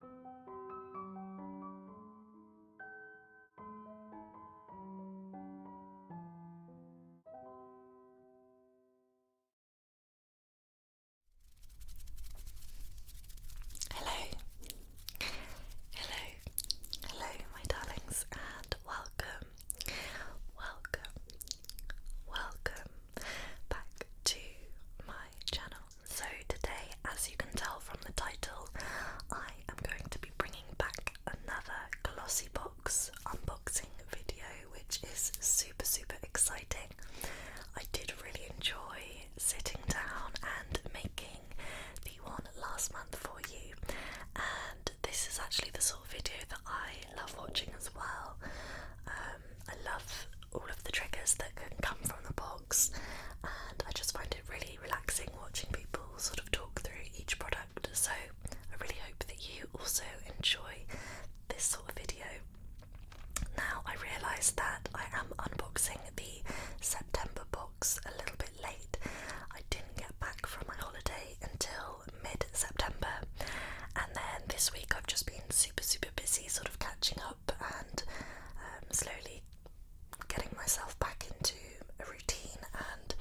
Hello, hello, hello, my darlings, and welcome, welcome, welcome back to my channel. So, today, as you can tell from the title, I am going to be bringing back another Glossy Box unboxing video, which is super, super exciting. I did really enjoy sitting down and making the one last month for you, and this is actually the sort of video that I love watching as well. Um, I love all of the triggers that can come from the box and I just find it really relaxing watching people sort of talk through each product. So I really hope that you also enjoy this sort of video. Now, I realise that I am unboxing the September box a little bit late. I didn't get back from my holiday until mid September, and then this week I've just been super, super busy sort of catching up and um, slowly getting myself back into a routine and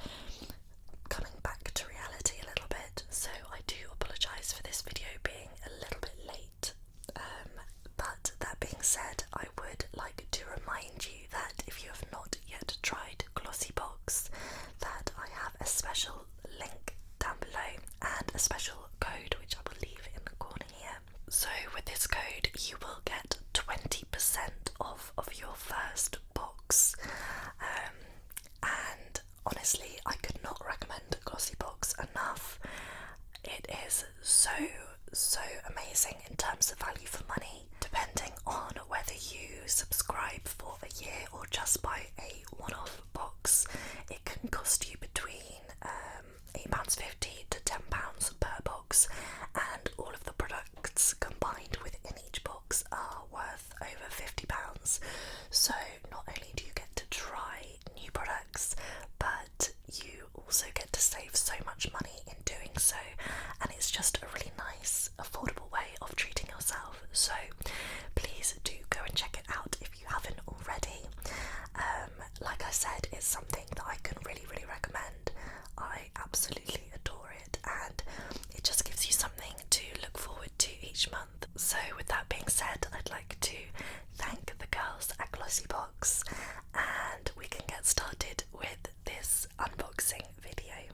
coming back to reality a little bit. So I do apologise for this video being a little bit late. Um, but that being said, I would like to remind you that if you have not yet tried Glossy Box, that I have a special link down below and a special code which I will leave in the corner here so, with this code, you will get 20% off of your first box. Um, and honestly, I could not recommend Glossy Box enough. It is so, so amazing in terms of value for money, depending on whether you subscribe for a year or just buy a one off box. It can cost you between um, £8.50 to £10 per box, and all of the products combined within each box are worth over £50. So, not only do you get to try new products, but you also get to save so much money in doing so, and it's just a really nice, affordable way of treating yourself. So, please do go and check it out if you haven't already. Um, like I said, it's something that I can really, really recommend. I absolutely adore it, and it just gives you something to look forward to each month. So, with that being said, I'd like to thank the girls at Glossy Box, and we can get started with this unboxing video.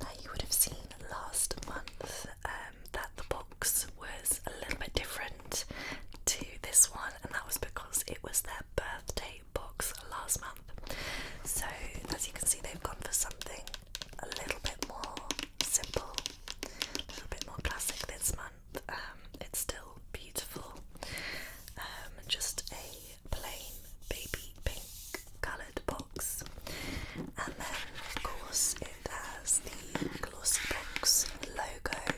Now you would have seen last month um, that the was a little bit different to this one, and that was because it was their birthday box last month. So, as you can see, they've gone for something a little bit more simple, a little bit more classic this month. Um, it's still beautiful, um, just a plain baby pink coloured box, and then, of course, it has the glossy logo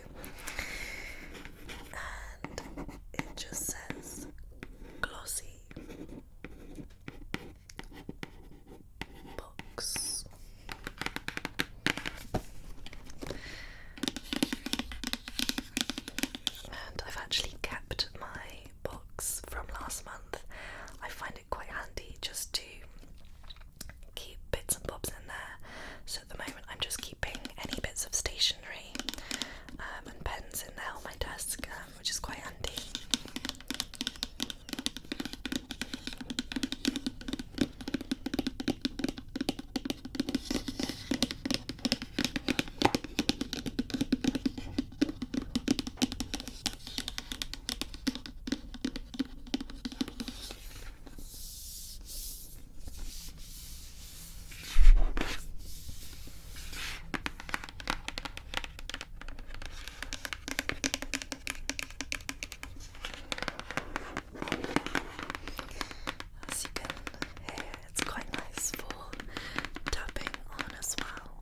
and it just says glossy box. And I've actually kept my box from last month. I find it quite handy just to keep bits and bobs in there. So at the moment, I'm just keeping any bits of stationery um, and pens in there on my desk, um, which is quite handy. As you it's quite nice for tapping on as well.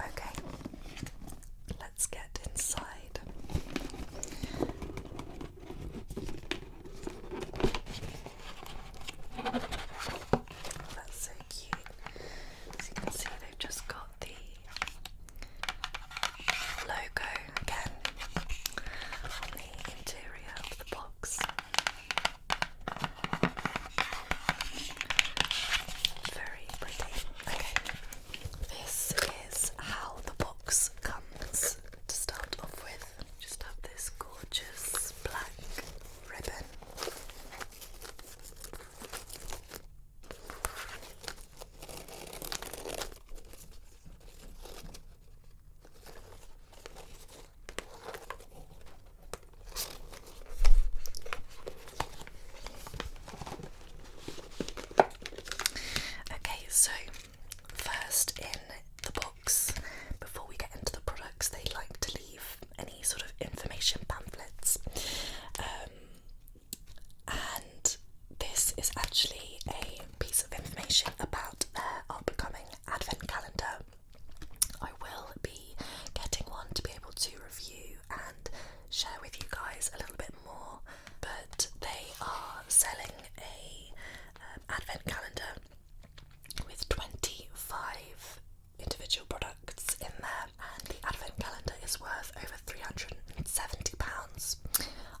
Okay, let's get inside. That's so cute. As you can see, they've just got the logo again on the interior of the box. Very pretty. Okay, this is how the box comes to start off with, just have this gorgeous black ribbon. Okay, so first in the box, before we get into the products, they like to leave any sort of information pamphlets. Um, and this is actually a piece of information about our upcoming advent calendar. I will be getting one to be able to review and share with you guys a little bit more, but they are selling a um, advent calendar with 25 individual products in there, and the advent calendar is worth over £370.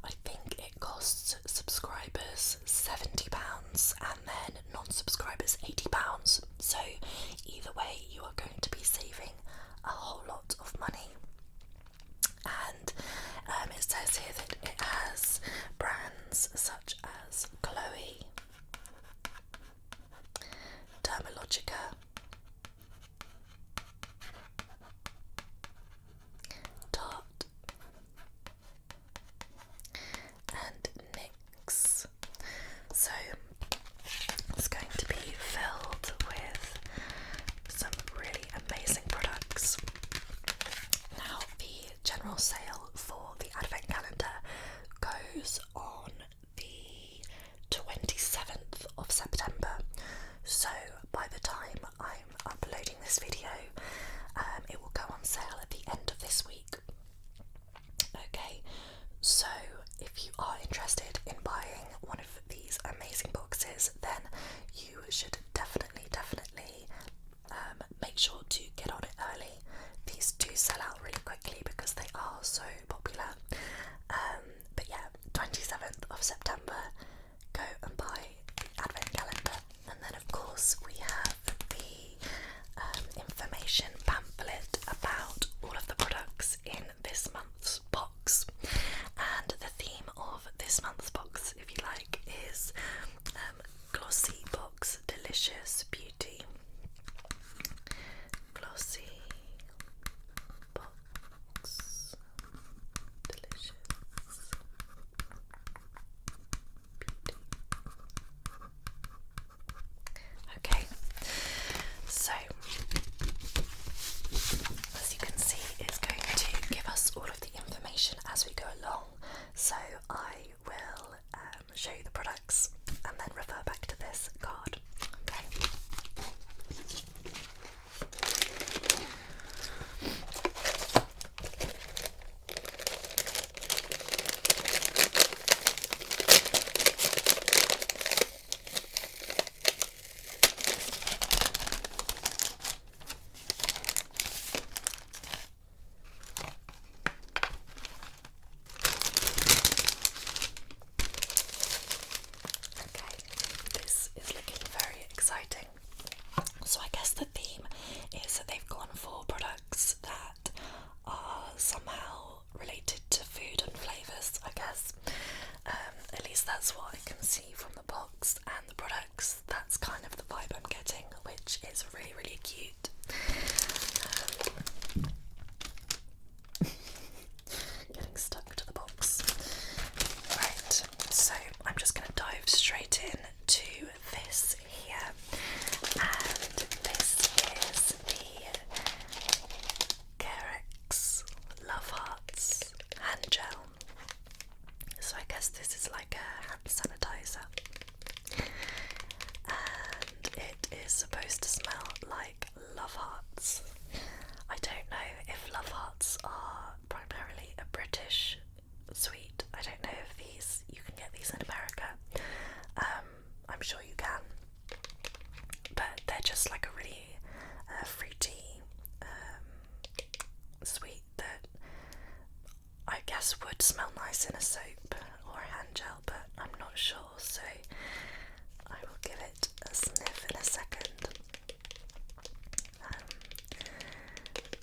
I think it costs subscribers £70 and then non subscribers £80. So, either way, you are going to be saving a whole lot of money and um, it says here that it has brands such as Chloe, Dermalogica, Tarte, and NYX. So it's going to be filled with some really amazing products. Now, the general sale for the advent calendar goes on the 27th of September. So, by the time I'm uploading this video, um, it will go on sale at the end of this week. Okay, so if you are interested in buying one of these amazing boxes, then you should definitely, definitely um, make sure to get on it early. These do sell out really quickly because they are so popular. Um, but yeah, 27th of September, go and buy the advent calendar. And then, of course, we have the um, information pamphlet about all of the products in this month's box. And the theme of this month's box, if you like, is um, Glossy Box Delicious Beauty. Glossy Box Delicious Beauty. Okay, so as you can see, it's going to give us all of information as we go along. So I will um, show you the products and then refer back to this card. Okay, this is looking very exciting. So, I guess the theme is that they've gone for products that are somehow related to food and flavours, I guess. Um, at least that's what I can see from the box and the products. That's kind of the vibe I'm getting, which is really, really cute. Um, getting stuck to the box. Right, so I'm just going to dive straight in to this here. And this is the Carex Love Hearts Hand Gel so I guess this is like a hand sanitizer. And it is supposed to smell like love hearts. I don't know if love hearts are primarily a British sweet. I don't know if these you can get these in America. Um, I'm sure you can. But they're just like a really uh, fruity, um, sweet that I guess would smell nice in a soap or a hand gel, but I'm not sure, so I will give it a sniff in a second. Um,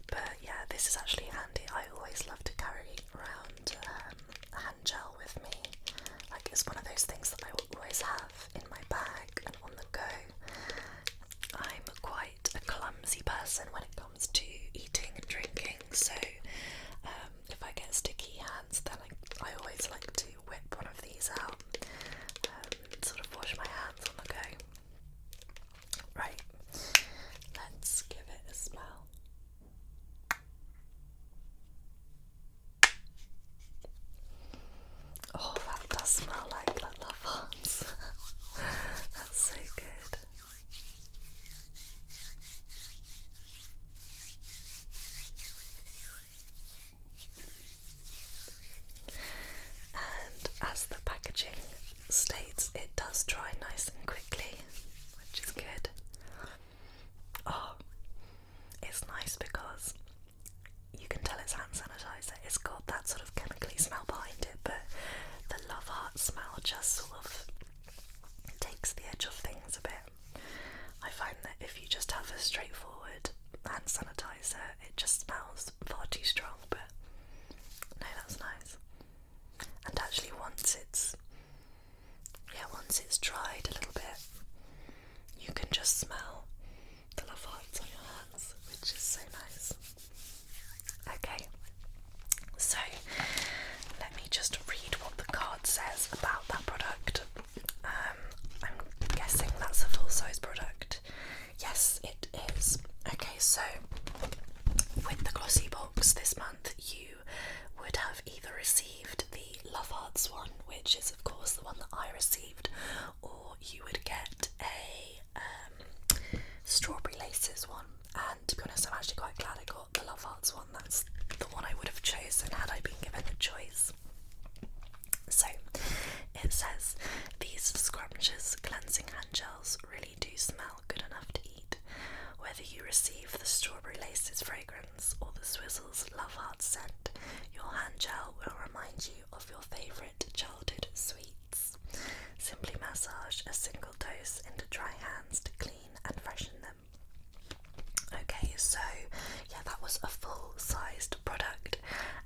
but yeah, this is actually handy. I always love to carry around um, a hand gel with me. Like, it's one of those things that I will always have in my bag and on the go. I'm quite a clumsy person when it comes to eating and drinking, so um, if I get sticky hands, then I, always like to whip one of these out um, sort of wash my hands on the go. Right, let's give it a smell. Oh, that does smell like la la fonts. That's so good. And as the packaging states, it does dry nice and quickly, which is good. Oh, it's nice because you can tell it's hand sanitizer. It's got that sort of chemically smell behind it, but the love heart smell just sort of takes the edge of things a bit. I find that if you just have a straightforward hand sanitizer, it just smells far too strong, but no, that's nice. And actually, once it's yeah, once it's dried a little bit, you can just smell the love hearts on your hands, which is so nice. Okay, so let me just read what the card says about that product. Um, I'm guessing that's a full size product. Yes, it is. Okay, so with the glossy box this month, you would have either received the Love Arts one, which is, of course, the one that I received, or you would get a um, strawberry laces one, and to be honest, I'm actually quite glad I got the Love Hearts one. That's the one I would have chosen had I been given the choice. So it says these scrumptious cleansing hand gels really do smell good enough to eat. Whether you receive the strawberry laces fragrance or the Swizzles Love Hearts scent, your hand gel will remind you of your favourite childhood sweet. Simply massage a single dose into dry hands to clean and freshen them. Okay, so yeah, that was a full sized product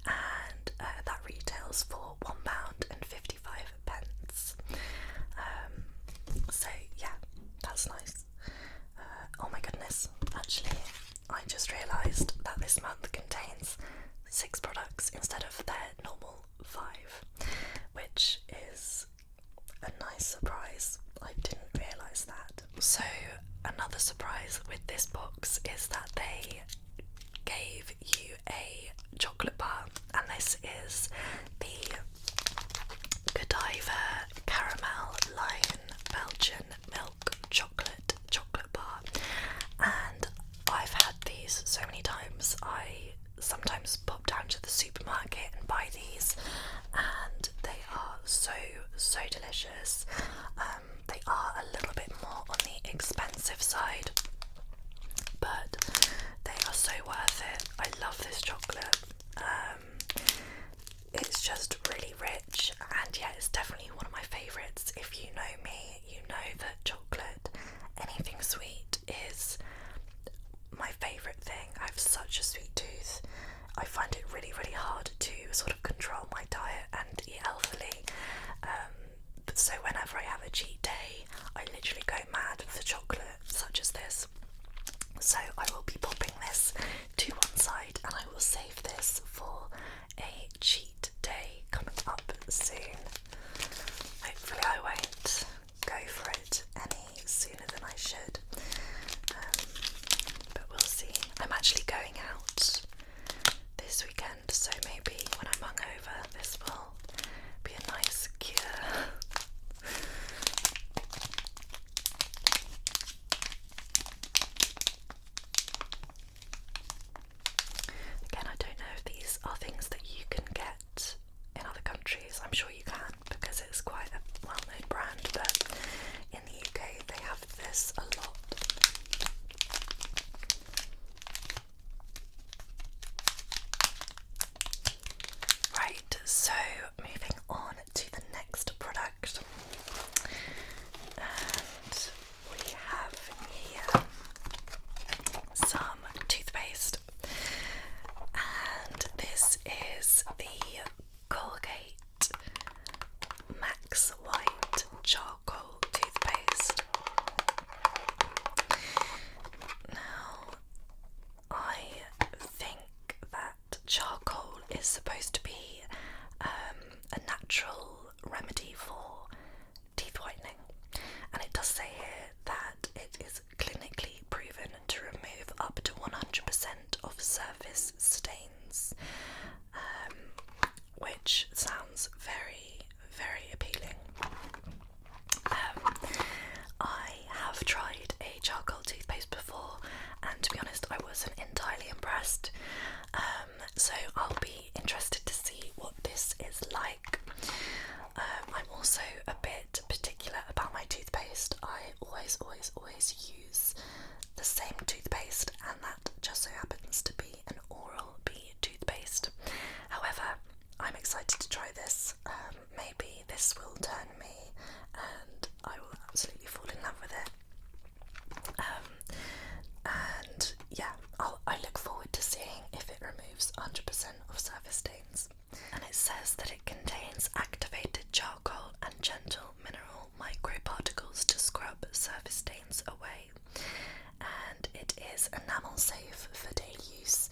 and uh, that retails for one pound and £1.55. Um, so yeah, that's nice. Uh, oh my goodness, actually, I just realised that this month contains six products instead of their normal 5, which is a nice surprise. I didn't realise that. So, another surprise with this box is that they gave you a chocolate bar, and this is the Godiva Caramel Lion Belgian Milk Chocolate Chocolate Bar. And I've had these so many times. I sometimes pop down to the supermarket and buy these, and they are so so delicious. Um, they are a little bit more on the expensive side, but they are so worth it. I love this chocolate. Um, it's just really rich, and yeah, it's definitely one of my favorites. If you know me, you know that chocolate, anything sweet, is my favourite thing. I have such a sweet tooth. I find it really, really hard to sort of control my diet and eat healthily. Um, so, whenever I have a cheat day, I literally go mad for chocolate, such as this. So, I will be popping this to one side and I will save this for a cheat day coming up soon. Hopefully, I won't go for it any sooner than I should. Um, but we'll see. I'm actually going out this weekend, so maybe when I'm hungover, this will be a nice cure. Again, I don't know if these are things that you can get in other countries. I'm sure you can because it's quite a well known brand, but in the UK they have this a lot. Right, so moving on to the next product, and we have here some toothpaste. And this is the Colgate Max White Charcoal Toothpaste. Now, I think that charcoal is supposed to be um, a natural remedy for teeth whitening. And it does say here that it is clinically proven to remove up to 100% of surface stains, um, which sounds very, very appealing. Um, I have tried a charcoal toothpaste before, and to be honest, I wasn't entirely impressed. Um, so I'll be interested to see what this is like. Um, I'm also a bit particular about my toothpaste. I always, always, always use the same toothpaste, and that just so happens to be an Oral B toothpaste. However, I'm excited to try this. Um, maybe this will turn me, and I will absolutely fall in love with it. Um, and yeah, i I look forward to seeing if it removes 100% of surface stains. And it says that it contains activated charcoal and gentle mineral micro particles to scrub surface stains away. And it is enamel safe for daily use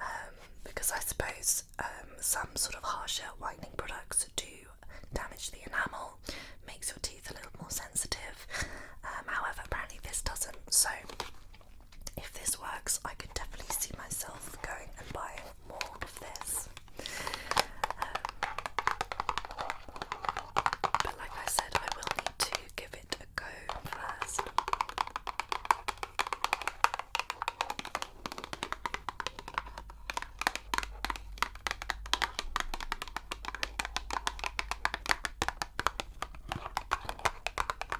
um, because I suppose um, some sort of harsher whitening products do damage the enamel, makes your teeth a little more sensitive. Um, however, apparently this doesn't. So if this works, I could definitely see myself going and buying more of this. Um, but like I said, I will need to give it a go first.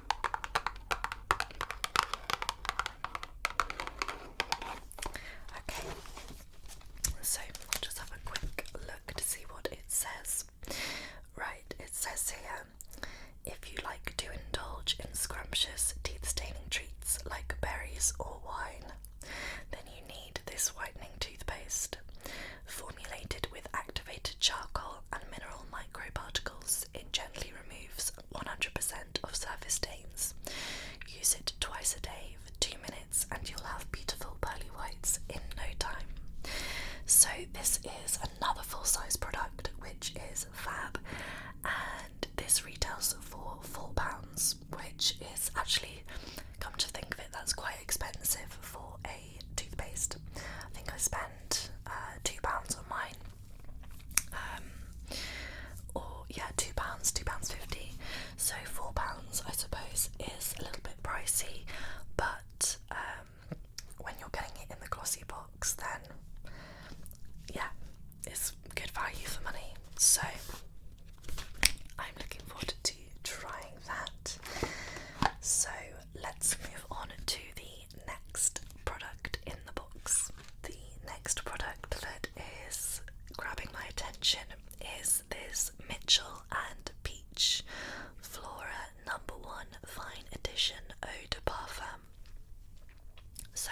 Okay, so just have a quick look to see what it says. Right, it says here if you like to indulge in scrumptious teeth staining treats like berries or wine, then you need this whitening toothpaste. For with activated charcoal and mineral micro particles, it gently removes 100% of surface stains. Use it twice a day for two minutes, and you'll have beautiful pearly whites in no time. So, this is another full size product which is fab, and this retails for £4, which is actually, come to think of it, that's quite expensive for a toothpaste. I think I spent uh, two pounds on mine. Um, or yeah, two pounds, two pounds fifty. So four pounds, I suppose, is a little bit pricey, but um, when you're getting it in the glossy box, then yeah, it's good value for money. So I'm looking forward to trying that. So let's move on to the next product in the box. The next product that is grabbing my attention is this Mitchell and Peach Flora Number One Fine Edition Eau de Parfum. So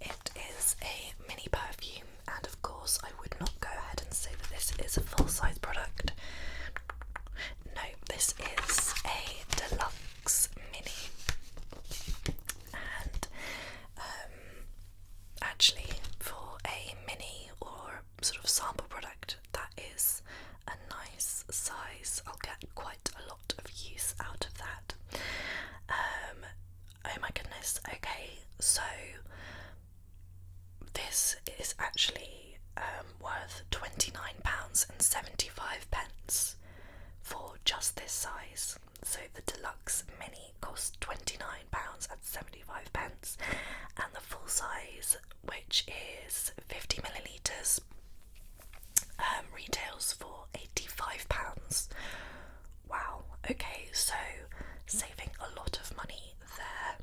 it is a mini perfume, and of course, I would not go ahead and say that this is a full size product. No, this is a deluxe mini, and um, actually, for a mini or sort of sample product, that is a nice size. I'll get quite a lot of use out of that. Um, oh my goodness, okay, so this is actually um, worth £29.75 for just this size. So the deluxe mini costs £29.75, and the full size, which is 50 millilitres, um, retails for £85. Wow, okay, so saving a lot of money there.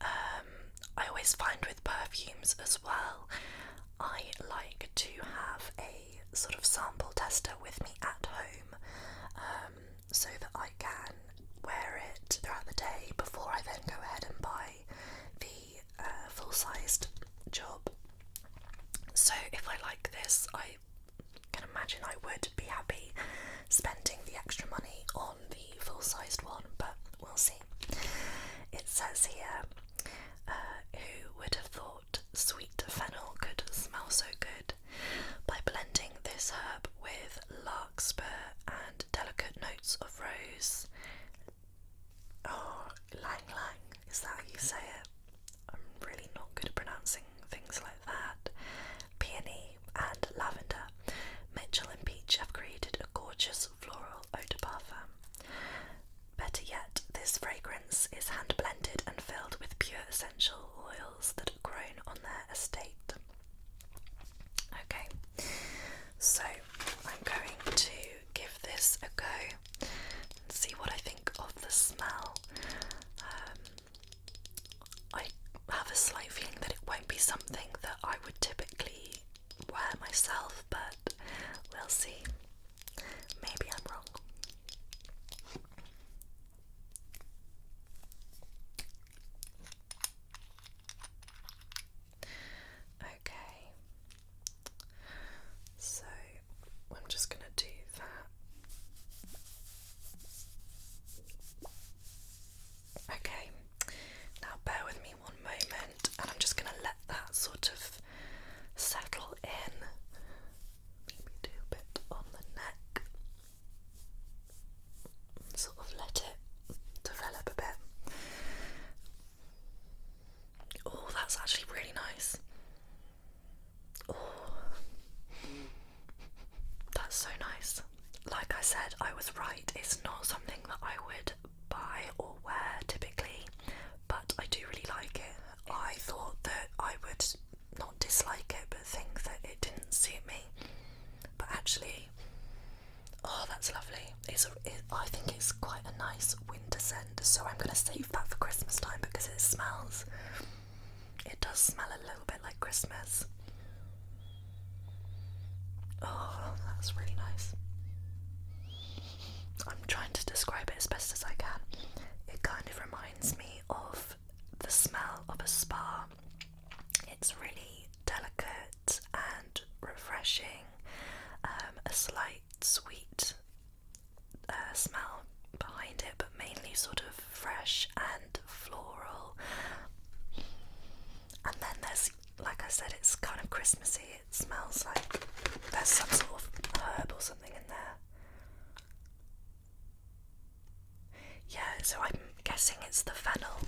Um, I always find with perfumes as well, I like to have a sort of sample tester with me at home um, so that I can wear it throughout the day before I then go ahead and buy the uh, full sized job. So if I like this, I can imagine I would be happy spending the extra money on the full sized one, but we'll see. It says here, uh, who would have thought sweet fennel could smell so good? By blending this herb with larkspur and delicate notes of rose. Oh, lang is that how you say it? I'm really not good at pronouncing things like that. Peony and lavender. Mitchell and Peach have created a gorgeous Floral Eau de Parfum. Better yet, this fragrance is hand blended and filled with pure essential oils that are grown on their estate. Okay, so I'm going to give this a go and see what I think of the smell. Um, I have a slight feeling that it won't be something that I would typically wear myself, but we'll see. Maybe I'm wrong. Okay, so I'm just going to do that. Okay, now, bear with me one moment, and I'm just going to let that sort of settle in. Maybe a bit on the neck. Sort of let it develop a bit. Oh, that's actually really nice. Oh, that's so nice. Like I said, I was right. It's not something that I would buy or wear typically, but I do really like it. I thought that I would not dislike it, but think that it didn't suit me. But actually, oh, that's lovely. It's a, I think it's quite a nice winter scent, so I'm gonna save that for Christmas time because it smells. It does smell a little bit like Christmas. Oh, that's really nice. I'm trying to describe it as best as I can. It kind of reminds me of the smell of a spa. It's really delicate and refreshing, um, a slight sweet uh, smell behind it, but mainly sort of fresh and floral. And then there's, like I said, it's kind of Christmassy it smells like there's some sort of herb or something in there. Yeah, so I'm guessing it's the fennel.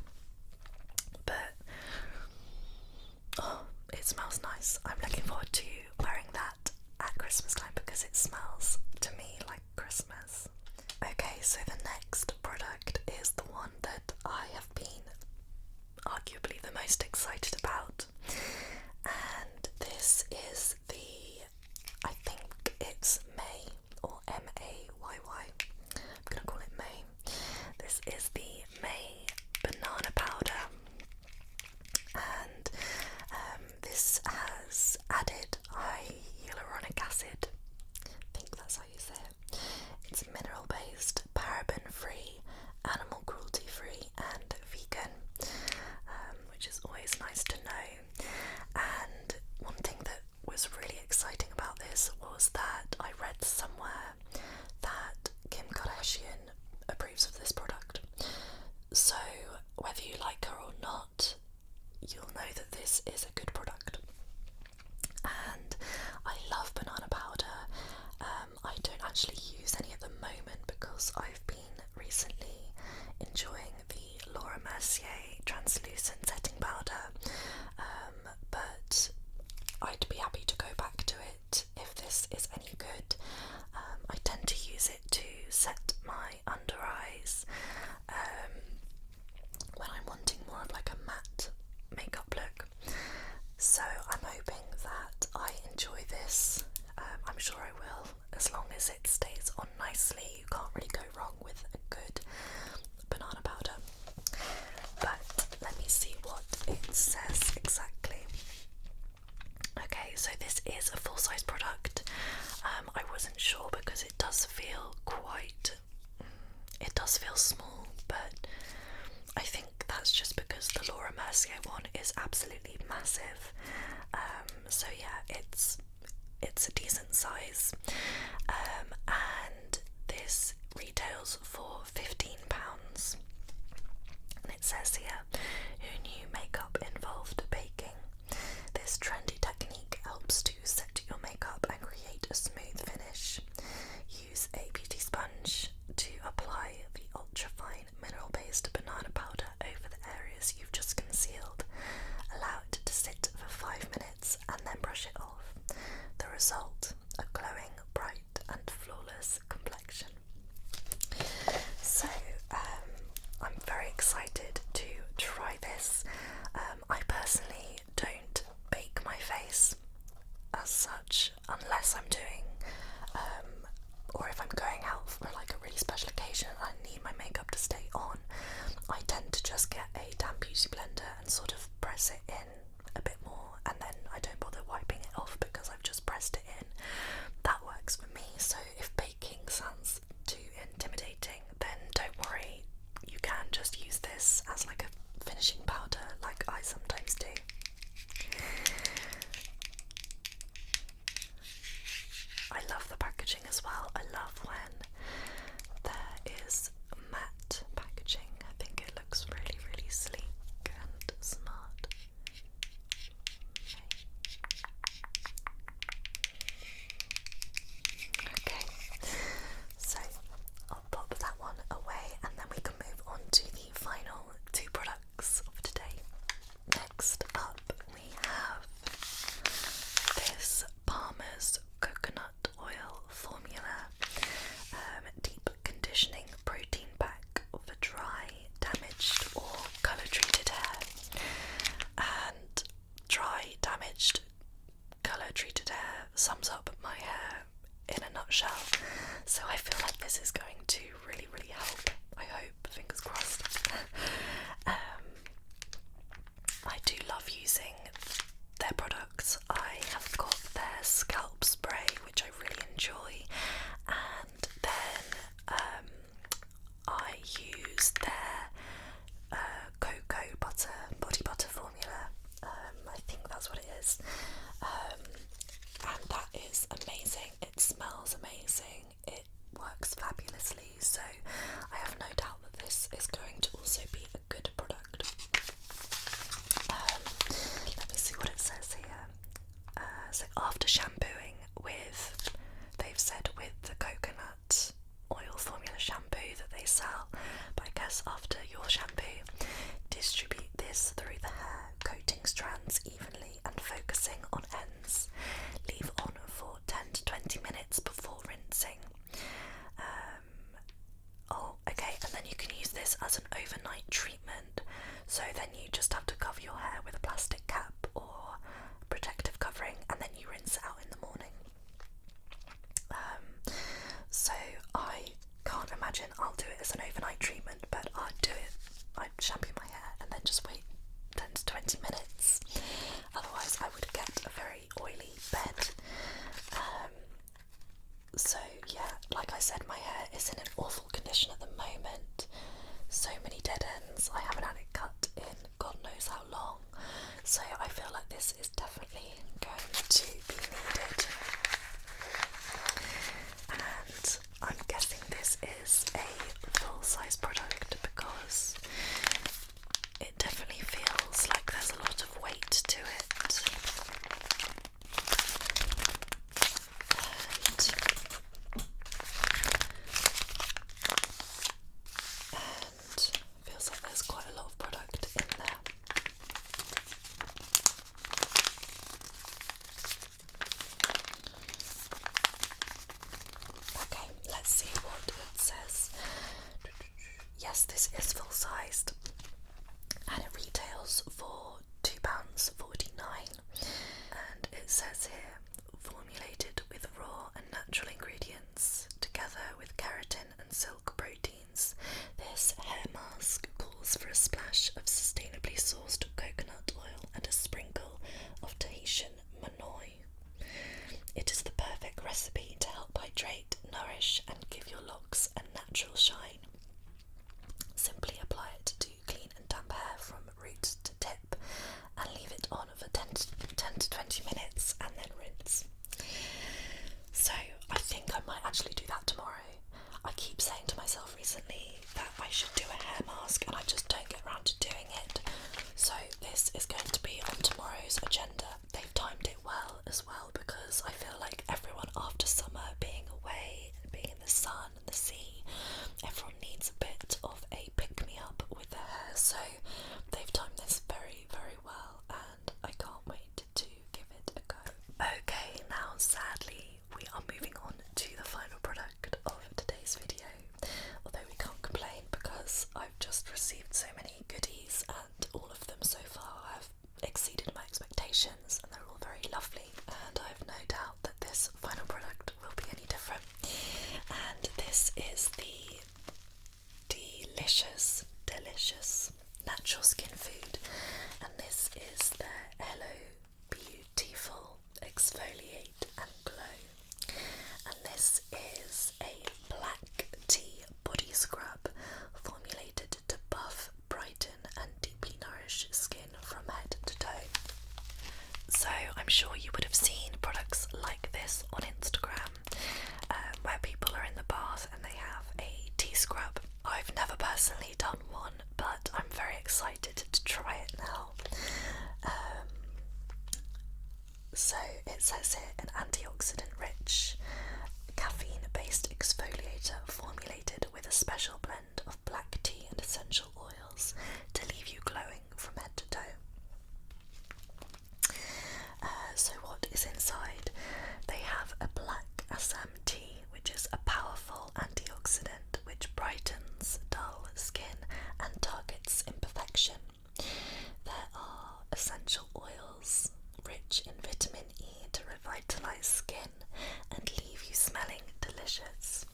But oh, it smells nice. I'm looking forward to wearing that at Christmas time because it smells to me like Christmas. Okay, so the next product is the one that I have been arguably the most excited about. And this is the, I think it's May or M A Y Y. I'm gonna call it May. This is the May banana powder, and um, this has added hyaluronic acid. I think that's how you say it. It's mineral based, paraben free, animal cruelty free, and vegan, um, which is always nice to know. And one thing that was really exciting about this was that I read somewhere that Kim Kardashian approves of this product. So, whether you like her or not, you'll know that this is a good product. And I love banana powder. Um, um, I don't actually use any at the moment because I've been recently enjoying the Laura Mercier translucent setting powder, um, but I'd be happy to go back to it if this is any good. Um, I tend to use it to set my under eyes when I'm wanting more of like a matte makeup look. So I'm hoping that I enjoy this. Um, I'm sure I will, as long as it stays on nicely. You can't really go wrong with a good banana powder. But let me see what it says exactly. Okay, so this is a full size product. Um, I wasn't sure because it does feel quite. Mm, it does feel small, but I think that's just because the Laura Mercier one is absolutely massive. Um, so yeah, it's it's a decent size, um, and this retails for fifteen pounds. And it says here, "New makeup involved baking? This trendy technique helps to set your makeup and create a smooth finish. Use a beauty sponge to apply the ultra-fine mineral-based banana powder over the areas you've just concealed. Allow it to sit for five minutes and then brush it off. The result, a glowing, bright and flawless complexion. So, um, I'm very excited to try this. Um, I personally don't bake my face as such, unless I'm doing, um, or if I'm going out for like a really special occasion and I need my makeup to stay on, I tend to just get a damp beauty blender and sort of press it in a bit more, and then I don't bother wiping it off because I've just pressed it in. That works for me. So if baking sounds too intimidating, then don't worry, you can just use this as like a finishing powder, like I sometimes do. I love the packaging as well. I love when there is matte packaging. I think it looks really, really sleek and smart. Okay, so pop that one away and then we can move on to the final two products of today. Next up, we have this Palmer's Coconut Oil Formula um, Deep Conditioning Protein Pack for dry, damaged, or colour treated hair. And dry, damaged, colour treated hair sums up my hair in a nutshell. So I feel like this is going to really, really help. I hope, fingers crossed. Um, I do love using their products. I have got their scalp spray, which I really enjoy, and then um, I use their uh, cocoa butter body butter formula, um, I think that's what it is. Um, and that is amazing. It smells amazing. It works fabulously. So I have no doubt that this is going to also be a good product. Um, let me see what it says here. Uh, so after shampooing with, they've said with the coconut oil formula shampoo that they sell, but I guess after your shampoo, distribute this through the hair coating strands evenly and focusing on ends. Leave on for 10 to 20 minutes before rinsing. Um, oh, okay, and then you can use this as an overnight treatment. So then you just have to cover your hair with a plastic cap or protective covering and then you rinse it out in the morning. Um, so I can't imagine I'll do it as an overnight treatment, but I'd do it. I'd shampoo my hair and then just wait 10 to 20 minutes. Otherwise, I would get a very oily bed. Um, so, yeah, like I said, my hair is in an awful condition at the moment. So many dead ends. I haven't had it cut in God knows how long. So, I feel like this is definitely going to be needed and I'm guessing this is a full size product because it definitely feels like there's a lot of weight to it. and feels like there's quite a lot of product in there. Okay, let's see what it says. Yes, this is full sized and it retails for £2.49. And it says here formulated with raw and natural ingredients together with keratin and silk proteins this hair mask calls for a splash of sustainably sourced coconut oil and a sprinkle of Tahitian manoi. It is the perfect recipe to help hydrate, nourish, and give your locks a natural shine. Simply apply it to clean and damp hair from root to tip and leave it on for 10 10 to 20 minutes and then rinse. So, I think I might actually do that tomorrow I keep saying to myself recently that I should do a hair mask and I just don't get around to doing it. So this is going to be on tomorrow's agenda. They've timed it well as well because I feel like everyone after summer being away and being in the sun and the sea, everyone needs a bit of a pick me up with their hair. So they've timed this very, very well and I can't wait to give it a go. Okay, now sadly, we are moving on to the final product of today's video. Although we can't complain because I've just received so many goodies, and all of them so far have exceeded my expectations, and they're all very lovely. And I've no doubt that this final product will be any different. And this is the delicious, delicious natural skin food, and this is the Hello Beautiful Exfoliate and Glow. And this is a black tea body scrub formulated to buff, brighten, and deeply nourish skin from head to toe. So, I'm sure you would have seen products like this on Instagram uh, where people are in the bath and they have a tea scrub. I've never personally done one, but I'm very excited to try it now. Um, so it says here an antioxidant rich caffeine based exfoliator formulated with a special blend of black tea and essential oils to leave you glowing from head to toe. Uh, so, what is inside? They have a black Assam tea which is a powerful antioxidant which brightens dull skin and targets imperfection. There are essential oils rich in vitamin E to revitalize skin and leave you smelling delicious.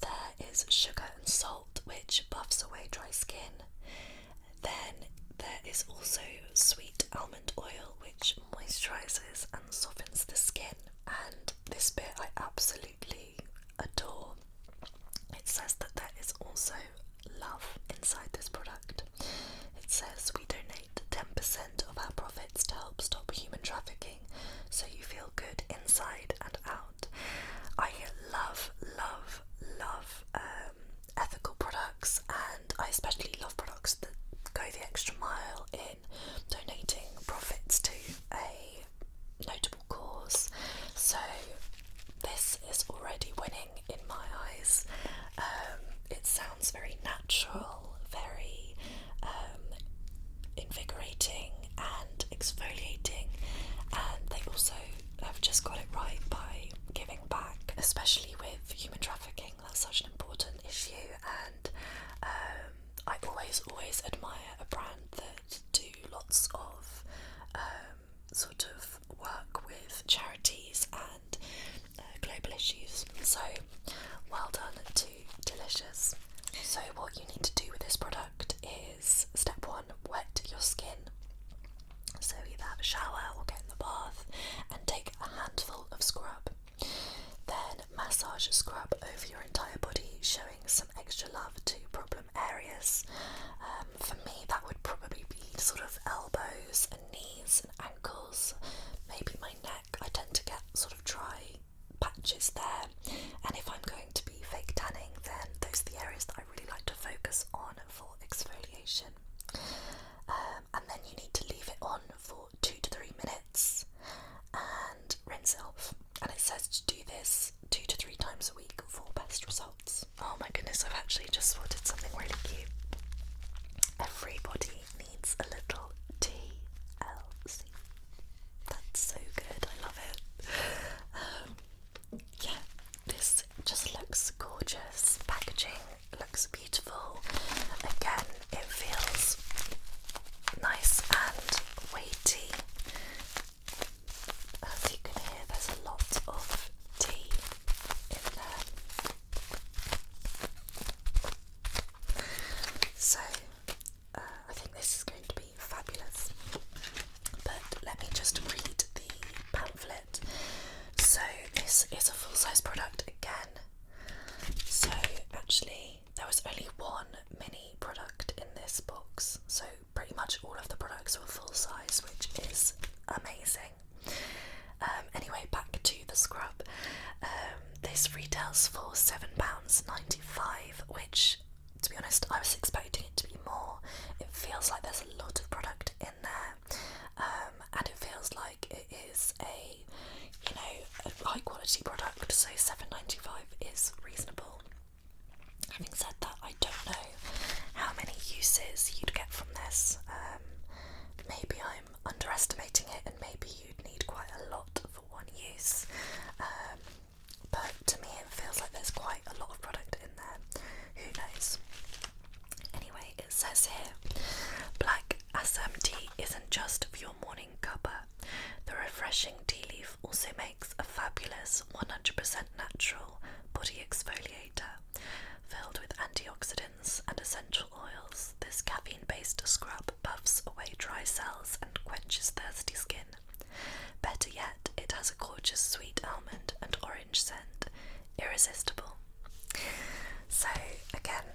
There is sugar and salt which buffs away dry skin. Then there is also sweet almond oil which moisturizes and softens the skin. And this bit I absolutely adore. It says that there is also love inside this product. It says we donate 10% of our profits to help stop human trafficking so you feel good inside and out. I love, love, love um, ethical products, and I especially love products that go the extra mile It donating profits to a notable cause. So this is already winning in my eyes. Um, it sounds very natural, very um, invigorating and exfoliating, and they also have just got it right by giving back, especially with human trafficking that's such an important issue, and um, I always, always admire a brand that do lots of um, sort of work with charities and uh, global issues. So, well done to Delicious. So, what you need to do with this product is step one: wet your skin. So, either have a shower or get in the bath and take a handful of scrub. Then massage scrub over your entire body, showing some extra love to problem areas. Um, for me, that would probably be sort of elbows and knees and ankles, maybe my neck. I tend to get sort of dry patches there, and if I'm going to be fake tanning, then those are the areas that I really like to focus on for exfoliation. Um, and then you need to leave it on for two to three minutes and rinse off. And it says to do this two to three times a week for best results. Oh my goodness, I've actually just spotted something really cute. Everybody needs a little TLC. That's so good, I love it. Um, yeah, this just looks gorgeous. Packaging looks beautiful beautiful. Again, it feels nice and weighty. As you can hear, there's a lot of tea in there. So, uh, I think this is going to be fabulous. But let me just read the pamphlet. So, this is a full size product again. So, actually, there was only one mini product in this box, so pretty much all of the products were full size, which is amazing. Um, anyway, back to the scrub. Um, this retails for £7.95, which, to be honest, I was expecting it to be more. It feels like there's a lot of product in there, um, and it feels like it is a you know a high quality product, so seven ninety five is reasonable. Having said that, I don't know how many uses you'd get from this. Um, maybe I'm underestimating it, and maybe you'd need quite a lot for one use. Um, but to me, it feels like there's quite a lot of product in there. Who knows? Anyway, it says here Black Asam tea isn't just for morning cuppa. The refreshing tea leaf also makes a fabulous 100% natural body exfoliator. Filled with antioxidants and essential oils, this caffeine based scrub buffs away dry cells and quenches thirsty skin. Better yet, it has a gorgeous sweet almond and orange scent. Irresistible. So, again,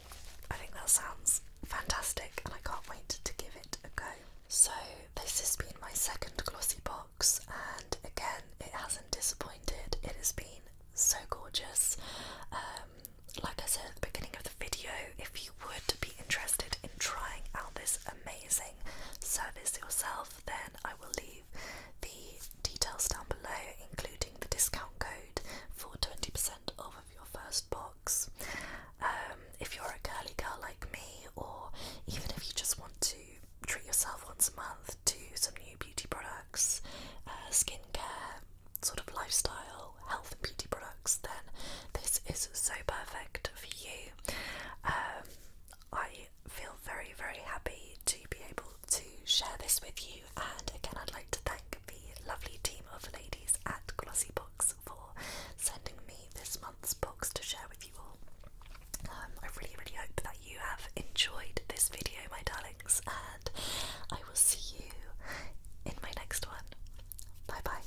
I think that sounds fantastic and I can't wait to give it a go. So, this has been my second glossy box, and again, it hasn't disappointed. It has been so gorgeous. Um, like I said at the beginning of the video, if you would be interested in trying out this amazing service yourself, then I will leave the details down below, including the discount code for 20% off your first box. Um, if you're a girly girl like me, or even if you just want to treat yourself once a month to some new beauty products, uh, skincare, sort of lifestyle, health and beauty products, then this is so perfect for you. Um, I feel very, very happy to be able to share this with you, and again, I'd like to thank the lovely team of ladies at Glossy Books for sending me this month's books to share with you all. Um, I really, really hope that you have enjoyed this video, my darlings, and I will see you in my next one. Bye bye.